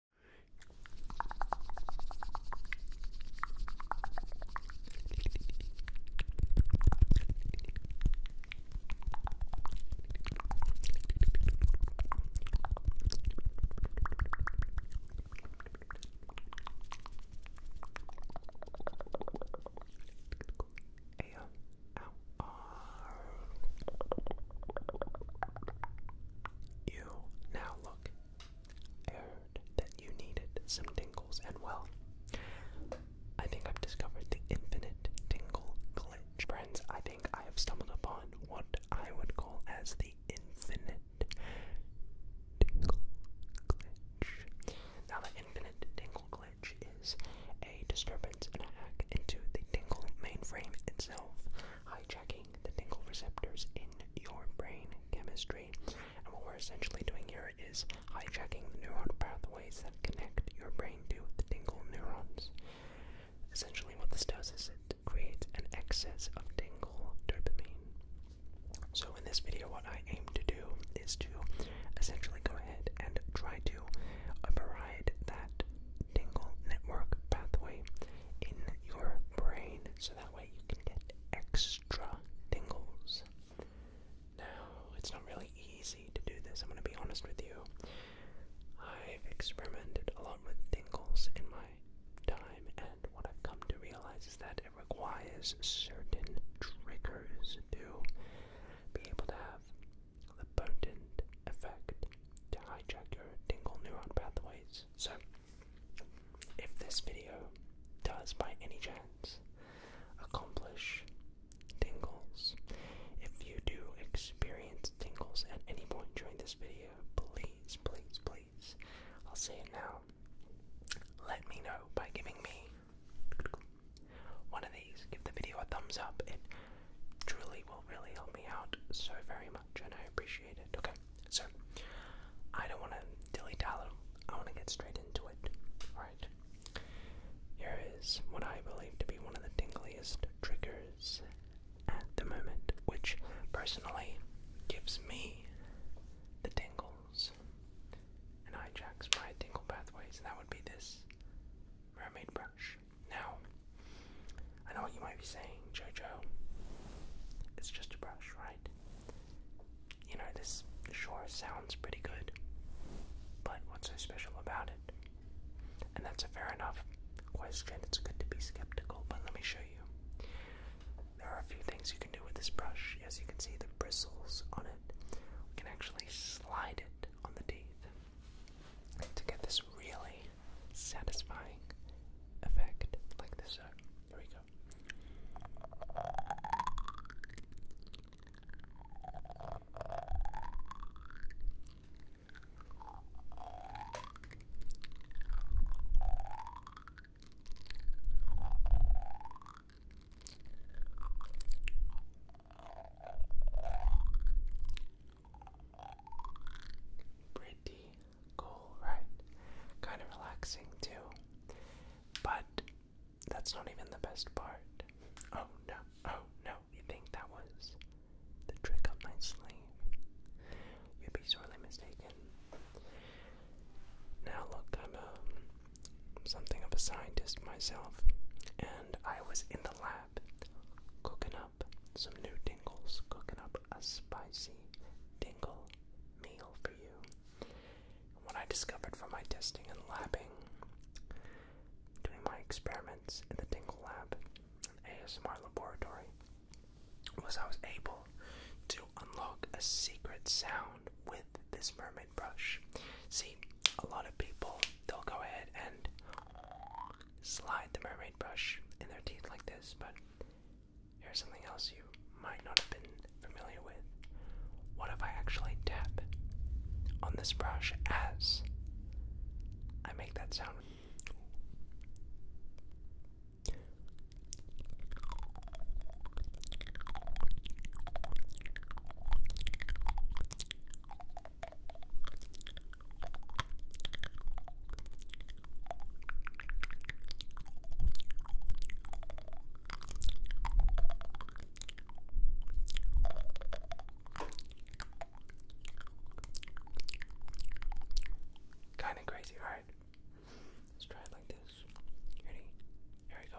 A -L -R. You now look. I heard that you needed some tingles, and well, I think I've discovered the infinite tingle glitch. Friends, I think I have stumbled upon what I would call as the infinite tingle glitch. Now, the infinite tingle glitch is a disturbance and a hack into the tingle mainframe itself hijacking the tingle receptors in your brain chemistry. And what we're essentially doing here is hijacking the neuron pathways that connect your brain to the tingle neurons. Essentially, what this does is it creates an excess of tingle dopamine. So, in this video, what I aim to do is to essentially go ahead and try to override that tingle network pathway in your brain so that way you can get extra tingles. Now, it's not really easy to do this, I'm going to be honest with you. I've experimented a lot with tingles in my time, and what I've come to realize is that it requires certain triggers to be able to have the effect to hijack your tingle neuron pathways. So, if this video does by any chance accomplish tingles, if you do experience tingles at any point during this video, please, please, please, I'll say it now. Let me know by giving me one of these. Give the video a thumbs up. It truly will really help me out so very much much, I appreciate it. Okay, so I don't want to dilly dally. I want to get straight into it. All right. Here is what I believe to be one of the tingliest triggers at the moment, which personally gives me the tingles and hijacks my tingle pathways, and that would be this mermaid brush. Now, I know you might be saying, Jojo. It's just a brush, right? You know, this sure sounds pretty good, but what's so special about it? And that's a fair enough question. It's good to be skeptical, but let me show you. There are a few things you can do with this brush. As you can see, the bristles on it, can actually slide it on the teeth to get this really satisfying effect like this. Uh, here we go. Pretty cool, right? Kind of relaxing too. But that's not even the best part. Oh no, oh no, you think that was the trick up my sleeve? You'd be sorely mistaken. Now, look, I'm um, something of a scientist myself, and I was in the lab cooking up some new dingles cooking up a spicy dingle meal for you. And what I discovered from my testing and labbing, doing my experiments in the Dingle Lab, an ASMR laboratory, was I was able to unlock a secret sound with this mermaid brush. See, a lot of people, they'll go ahead and slide the mermaid brush in their teeth like this, but here's something else you might not have been familiar with. What if I actually tap on this brush as I make that sound? Kind of crazy, right? Let's try it like this. Ready? Here we go.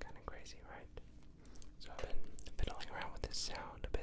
Kind of crazy, right? So I've been fiddling around with this sound a bit.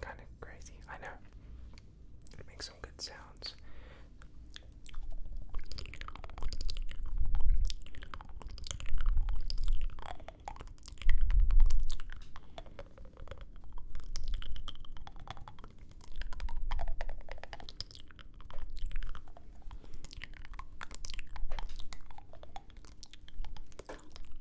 Kind of crazy, I know. It makes some good sounds.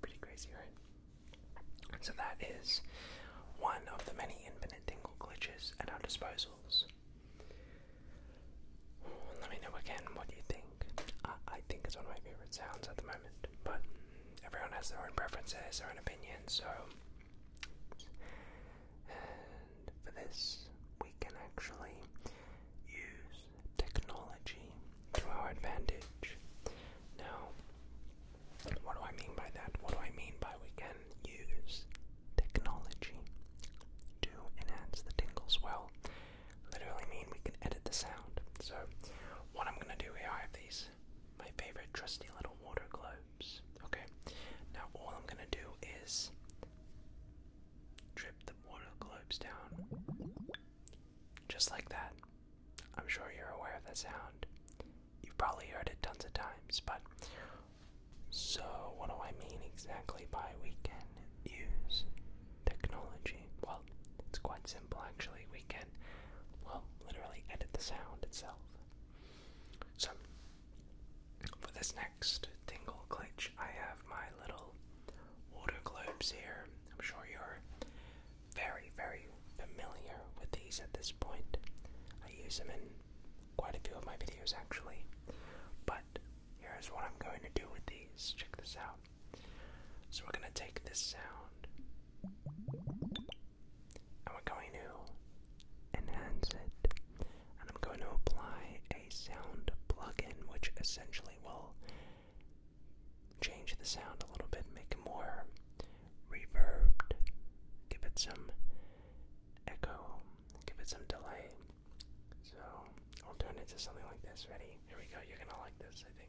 Pretty crazy, right? So that is one of the many infinite tingle glitches at our disposals. Let me know again what you think. I, think it's one of my favorite sounds at the moment, but everyone has their own preferences, their own opinions, so. for this, we can actually use technology to our advantage. Now, what do I mean by that? What do I mean by we can use technology to enhance the tingles? Well, literally mean we can edit the sound. So, what I'm gonna do here, are these my favorite trusty little water globes. Okay, now all I'm gonna do is drip the mortal globes down. Just like that. I'm sure you're aware of that sound. You've probably heard it tons of times, but. So, what do I mean exactly by we can use technology? Well, it's quite simple actually. We can, well, literally edit the sound itself. So, for this next tingle glitch, I have my little water globes here. I'm sure you're very, very familiar with these at this point. I use them in quite a few of my videos actually. But here's what I'm going to do with these. Check this out. So we're going to take this sound and we're going to enhance it. And I'm going to apply a sound plugin, which essentially actually will change the sound a little bit, make it more reverbed, give it some echo, give it some delay. So I'll turn it into something like this. Ready? Here we go. You're gonna like this, I think.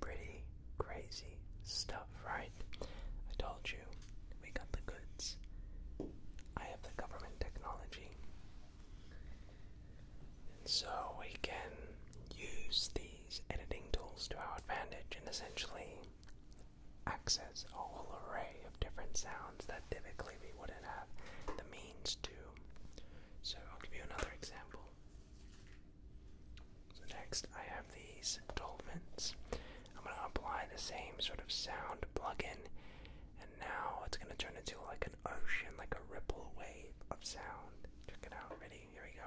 Pretty crazy stuff, right? I told you, we got the goods. I have the government technology. so we can use the editing tools to our advantage and essentially access a whole array of different sounds that typically we wouldn't have the means to. So I'll give you another example. So next I have these dolphins. I'm going to apply the same sort of sound plugin and now it's going to turn into like an ocean, like a ripple wave of sound. Check it out, ready? ready. Here we go.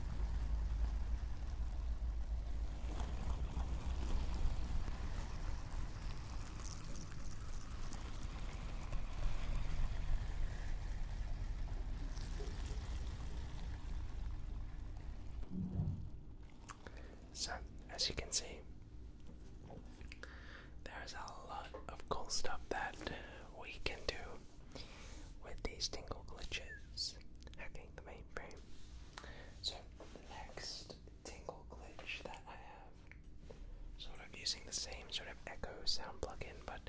So, as you can see, there is a lot of cool stuff that we can do with these tingle glitches hacking the mainframe. So, the next tingle glitch that I have, sort of using the same sort of echo sound plugin, but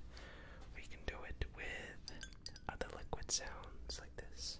we can do it with other liquid sounds like this.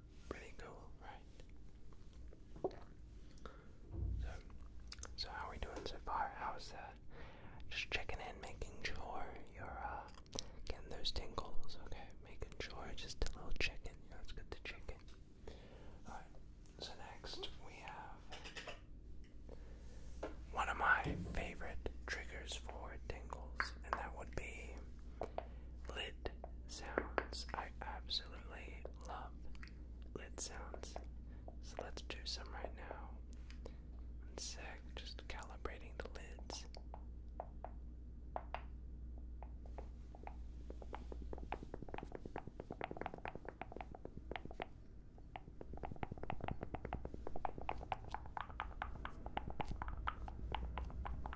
Pretty cool, right? So, so how are we doing so far? How's that? Uh, just checking in, making sure you're uh, getting those tingles, okay? Making sure, just a little chicken. You know, it's good to chicken. Alright, so next we have one of my favorite triggers for tingles, and that would be lit and sounds I absolutely love lids sounds. So let's do some right now. just calibrating the lids.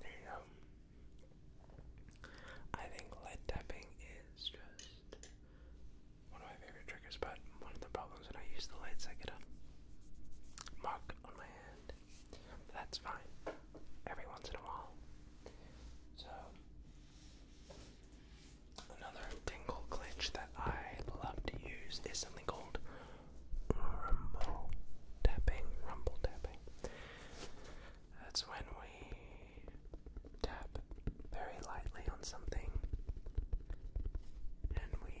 There you go. I think lead tapping is just one of my favorite triggers, but one of the problems when I use the lights, I get a mark on my hand that's fine. Every once in a while. So another tingle glitch that I love to use is something called rumble tapping. Rumble tapping. That's when we tap very lightly on something and we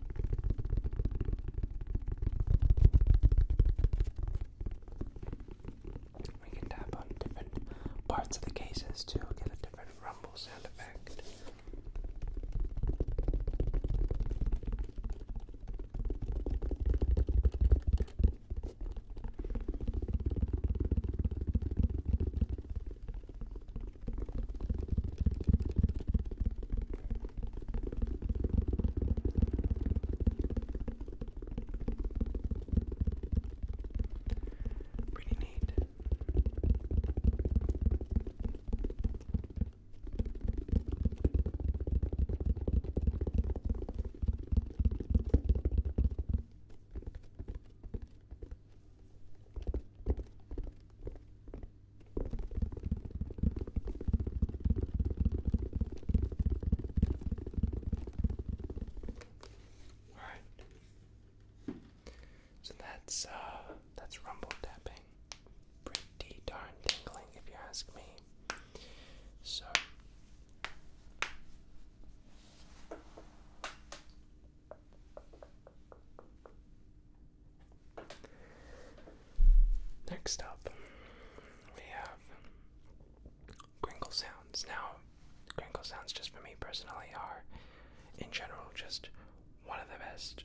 We can tap on different parts of the cases to get a different rumble sound effect. Pretty neat. All right. So that's uh that's rumble tapping. Pretty darn tingling if you ask me. So Next up, we have crinkle sounds. Now, crinkle sounds, just for me personally, are in general just one of the best.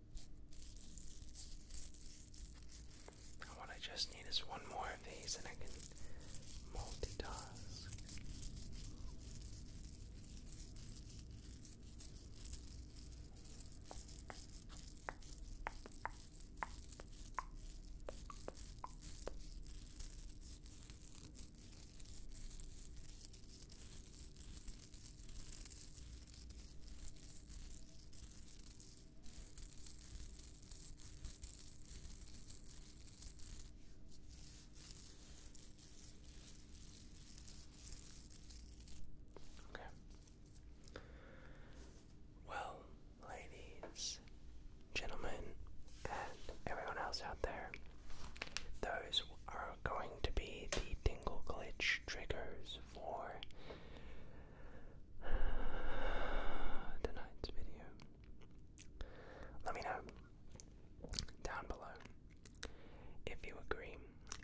what I just need is one more of these, and I can multitask. Okay. Well, ladies, gentlemen, and everyone else out there, those are going to be the Dingle Glitch triggers for tonight's video. Let me know down below if you agree,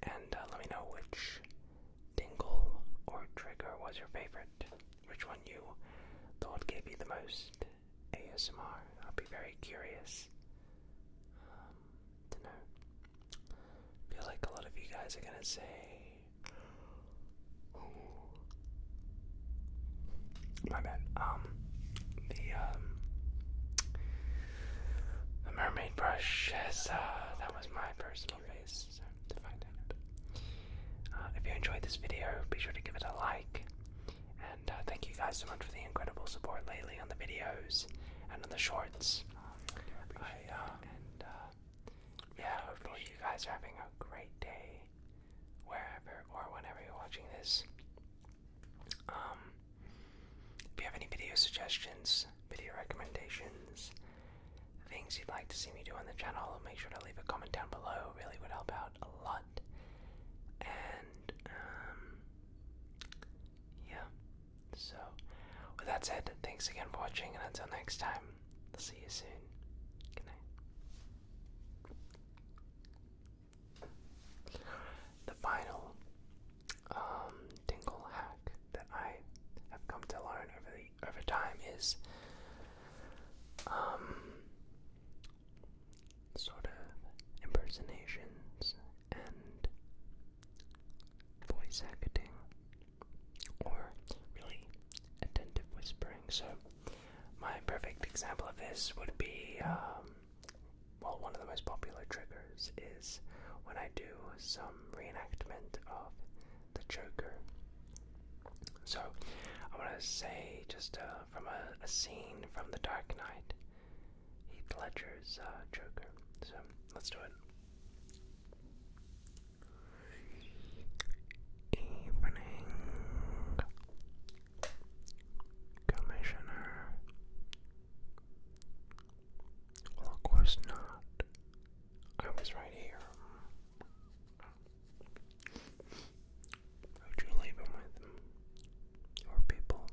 and uh, let me know which dingle or trigger was your favorite, which one you thought gave you the most ASMR. I'd be very curious. I feel like a lot of you guys are gonna say, my bad. Um, the um, the mermaid brush uh, that was my personal face so find out. Uh, if you enjoyed this video, be sure to give it a like. And uh, thank you guys so much for the incredible support lately on the videos and on the shorts. Uh, uh, yeah, hopefully you guys are having a great day wherever or whenever you're watching this. Um, if you have any video suggestions, video recommendations, things you'd like to see me do on the channel, make sure to leave a comment down below. Really would help out a lot. And um, yeah, so, with that said, thanks again for watching, and until next time, see you soon. Good night. The final tingle um, hack that I have come to learn over over time is um, sort of impersonations and voice acting, or really attentive whispering. So, my perfect example of this would be um, well, one of the most popular triggers is when I do some reenactment of the Joker. So, I want to say just uh, from a scene from The Dark Knight. Heath Ledger's uh, Joker. So let's do it. Evening, Commissioner. of course not. I was right here. would you leave him with? Or people?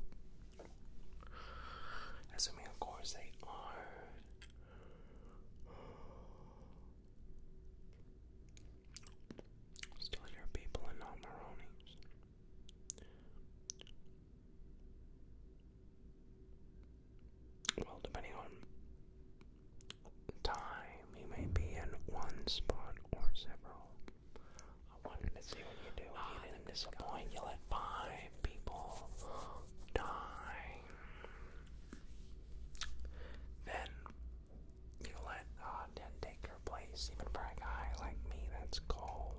Assuming, of course, they are. Uh, still your people and not Maronis. Well, depending on time, you may be in one spot or several. I wanted to see what you do. you didn't disappoint. You let five people die. Then you let uh, Den take your place, even a guy like me that's cold.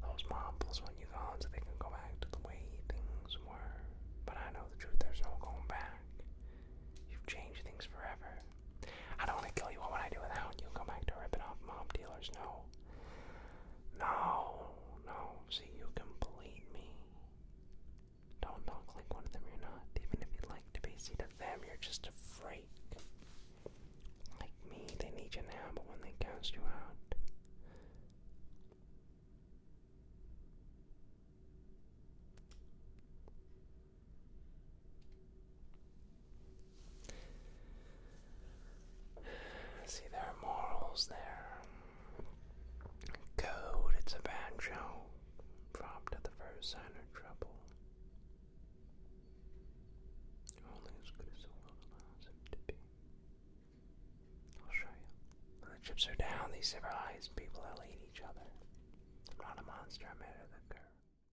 Those mobs when you thought so they can go back to the way things were. But I know the truth, there's no going back. You've changed things forever. I don't want to kill you. What would I do without you? Go back to ripping off mob dealers. No. No. No. See, you complete me. Don't talk like one of them. You're not. Even if you'd like to be. seen to them, you're just a freak. Like me, they need you now, but when they cast you out. See, there are morals there. Code, it's a bad show. Dropped at the first sign of trouble. Only as good as the world allows him to be. I'll show you. the chips are down, these civilized people will eat each other. not a monster, I'm ahead of the curve.